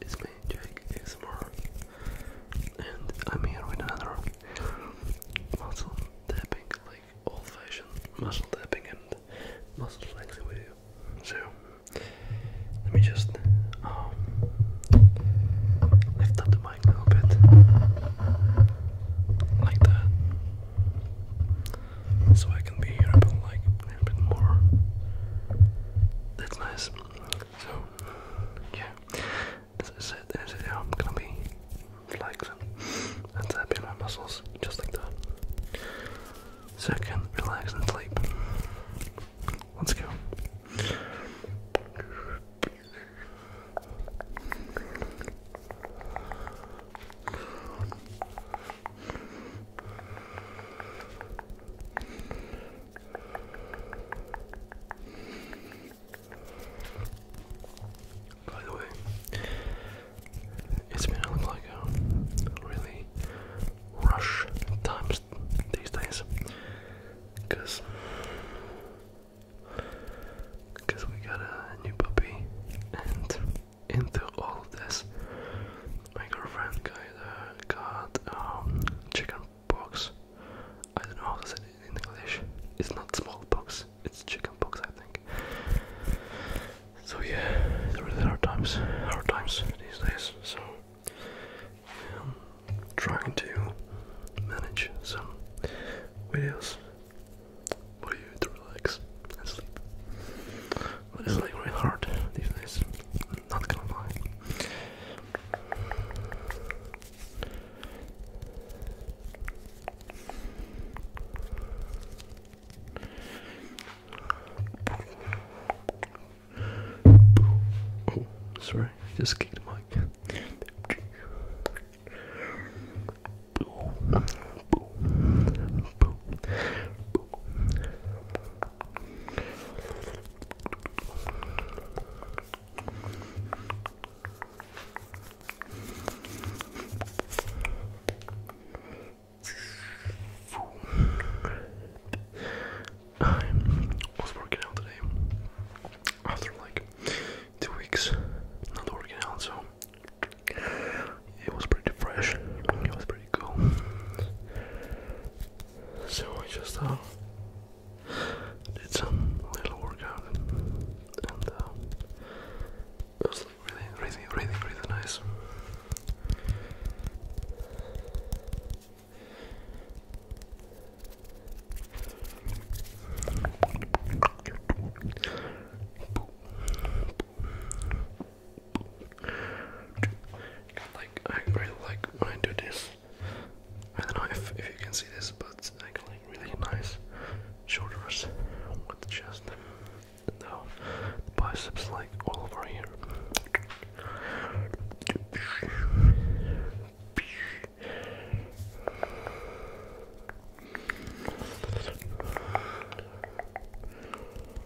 It's me, Jake ASMR, and I'm here with another muscle tapping, like old fashioned muscle tapping and muscle flexing video. So, let me just um, lift up the mic a little bit, like that so I can be here a bit like a little bit more. That's nice. So yeah, as I said, as I said, I'm gonna be flexing and tapping my muscles just like that, so I can relax and sleep. Let's go. By the way, it's been like a really rush times these days because because we got a new puppy into all of this. My girlfriend got, uh, got um, chicken pox. I don't know how to say it in English. It's not smallpox, it's chicken pox, I think. So yeah, really hard times, hard times these days. So trying to manage some videos for you to relax sleep. it's like really hard these days. not gonna lie. Oh, sorry, just kicked the mic. I was working out today after like two weeks not working out, so it was pretty fresh. It was pretty cool. So I just uh, did some little workout and uh, it was really, really, really, really nice like I really like when I do this. I don't know if, if you can see this, but I like, like really nice shoulders with the chest and biceps like all over here.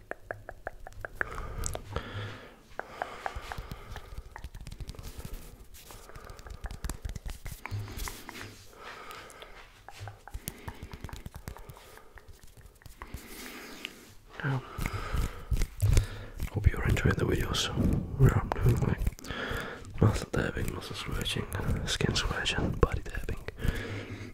Now, oh. hope you're enjoying the videos where I'm doing like muscle dabbing, muscle scratching, uh, skin scratching, body dabbing,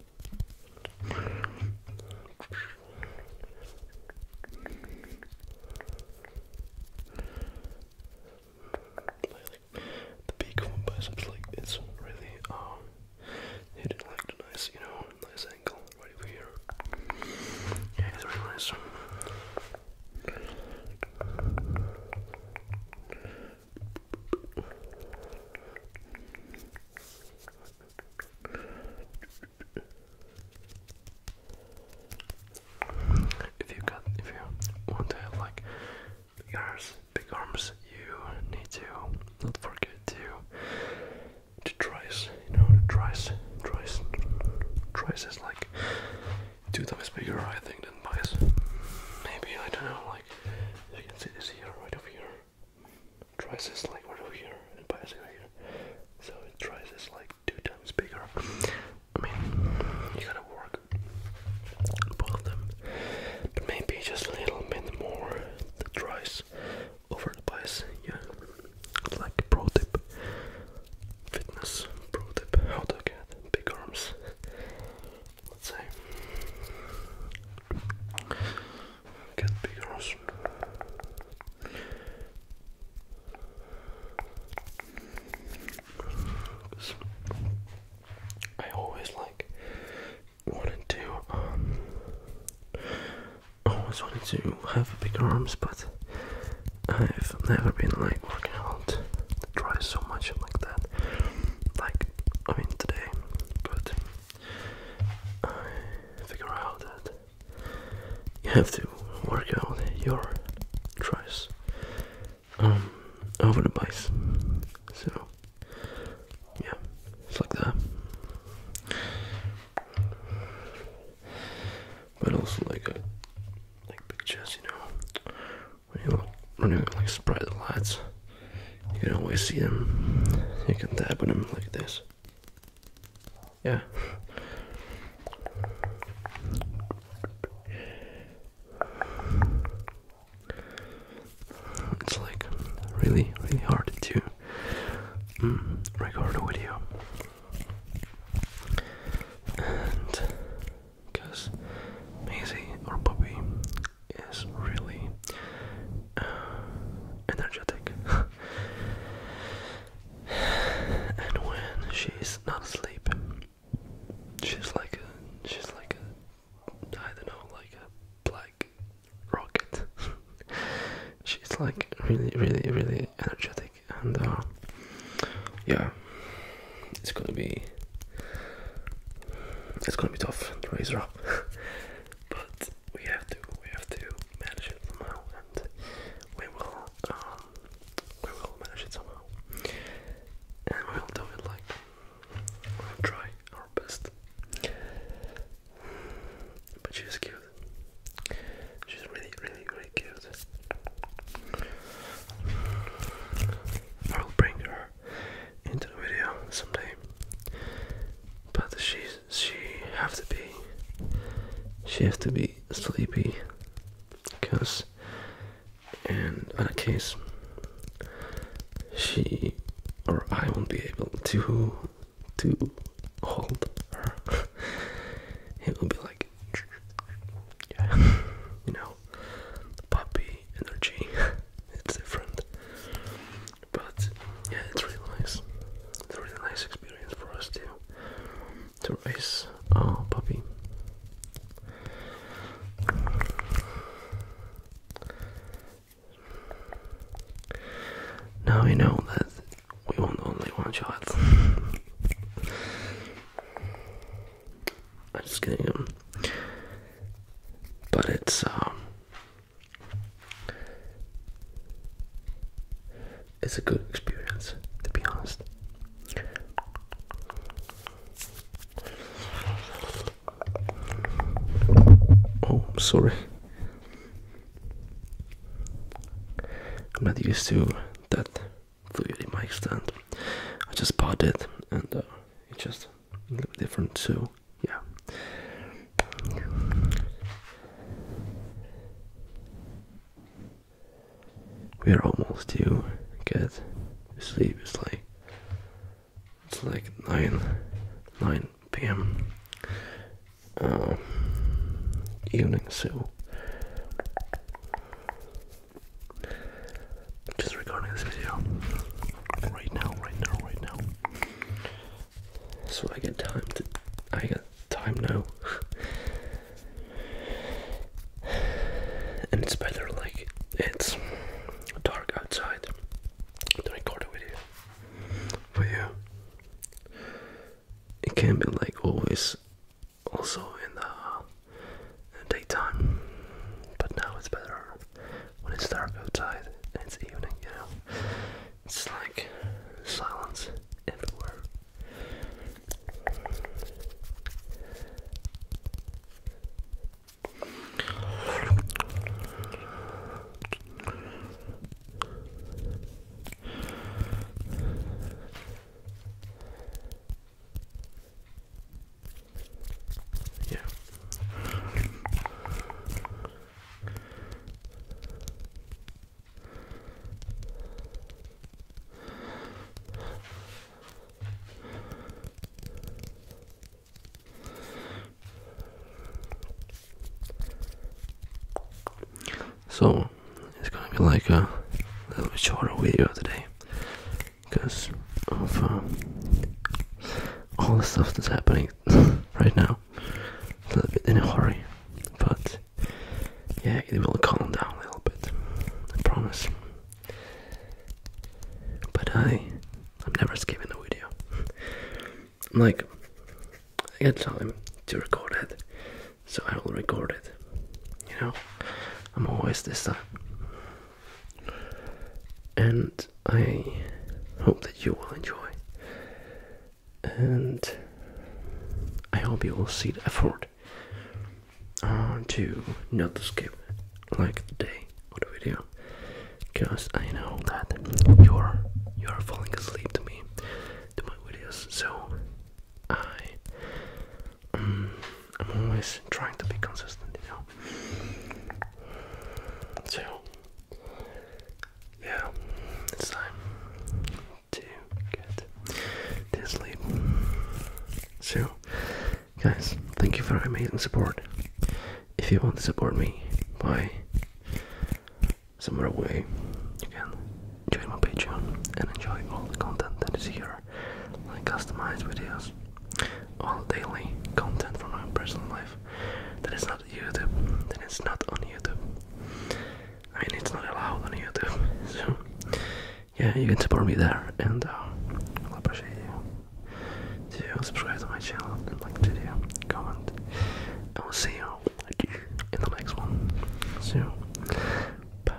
like the big one biceps, like it's really um hidden like the nice, you know, nice angle right over here. Yeah, it's really nice. If you got, if you want to have like big arms, big arms, you need to not forget to to tries, you know, to tries, tries, is like two times bigger, I think, than bias. Maybe I don't know. Like you can see this here, right over here twice as like over here and bias over here. So it tries is like two times bigger. I mean you gotta work both of them. But maybe just a little bit more the tries over the bias, yeah. Like pro tip. Fitness pro tip how to get big arms. Let's say can't be I always like wanted to um, always wanted to have bigger arms but I've never been like working out try so much like that like I mean today but I figure out that you have to work out your tries um, over the base. So, yeah, it's like that. But also like a uh, like big chest, you know, when you when you like spray the lights you can always see them. You can tap on them like this. Yeah. It's like really, really hard to mm, record a video. And because Maisie or Puppy is really uh, energetic. and when she's not asleep, she's like a, she's like a, I don't know, like a black rocket. she's like really, really, really energetic, and uh, yeah, it's gonna be, it's gonna be tough to raise her up. but we have to we have to manage it somehow, and we will um, we will manage it somehow, and we will do it like we'll try our best. But she's cute. She's really, really, really cute. I'll bring her into the video someday. But she she have to be she have to be sleepy because and on case she or I won't be able to to hold her. it will be like you know, puppy energy. it's different. But yeah, it's really nice. It's a really nice experience for us too to raise our puppy. Now we know that we want only one child. I'm just kidding. Um, but it's um it's a good experience, to be honest. Oh, sorry. I'm not used to that fluid in my stand. I just bought it and uh, it just a little different too. Yeah. We are almost due. Get sleep. It's like it's like nine nine p.m. Uh, evening, so just recording this video right now, right now, right now. So I got time to. I got time now. and it's better, like, it's dark outside to record a video for you. It can be, like, always also in the daytime, but now it's better when it's dark outside and it's evening, you It's like silence everywhere. Yeah. So it's gonna be like a little bit shorter video today because of um, all the stuff that's happening right now. A little bit in a hurry, but yeah, it will calm down a little bit. I promise. But I, I'm never skipping a video. I'm like, I get time to record it, so I will record it. You know, I'm always this time and I hope that you will enjoy. And I hope you will see the effort uh, to not skip like the day of the video, because I know that you're you're falling asleep to me to my videos. So I um, I'm always trying to be consistent, So, yeah, it's time to get to sleep. So, guys, thank you for your amazing support. If you want to support me by some other way, you can join my Patreon and enjoy all the content that is here like customized videos, all daily content for my personal life that is not YouTube, That is not on YouTube. I mean, it's not allowed on YouTube, so yeah, you can support me there, and uh, i appreciate you. To subscribe to my channel and like the video, comment. I will see you in the next one. So, bye.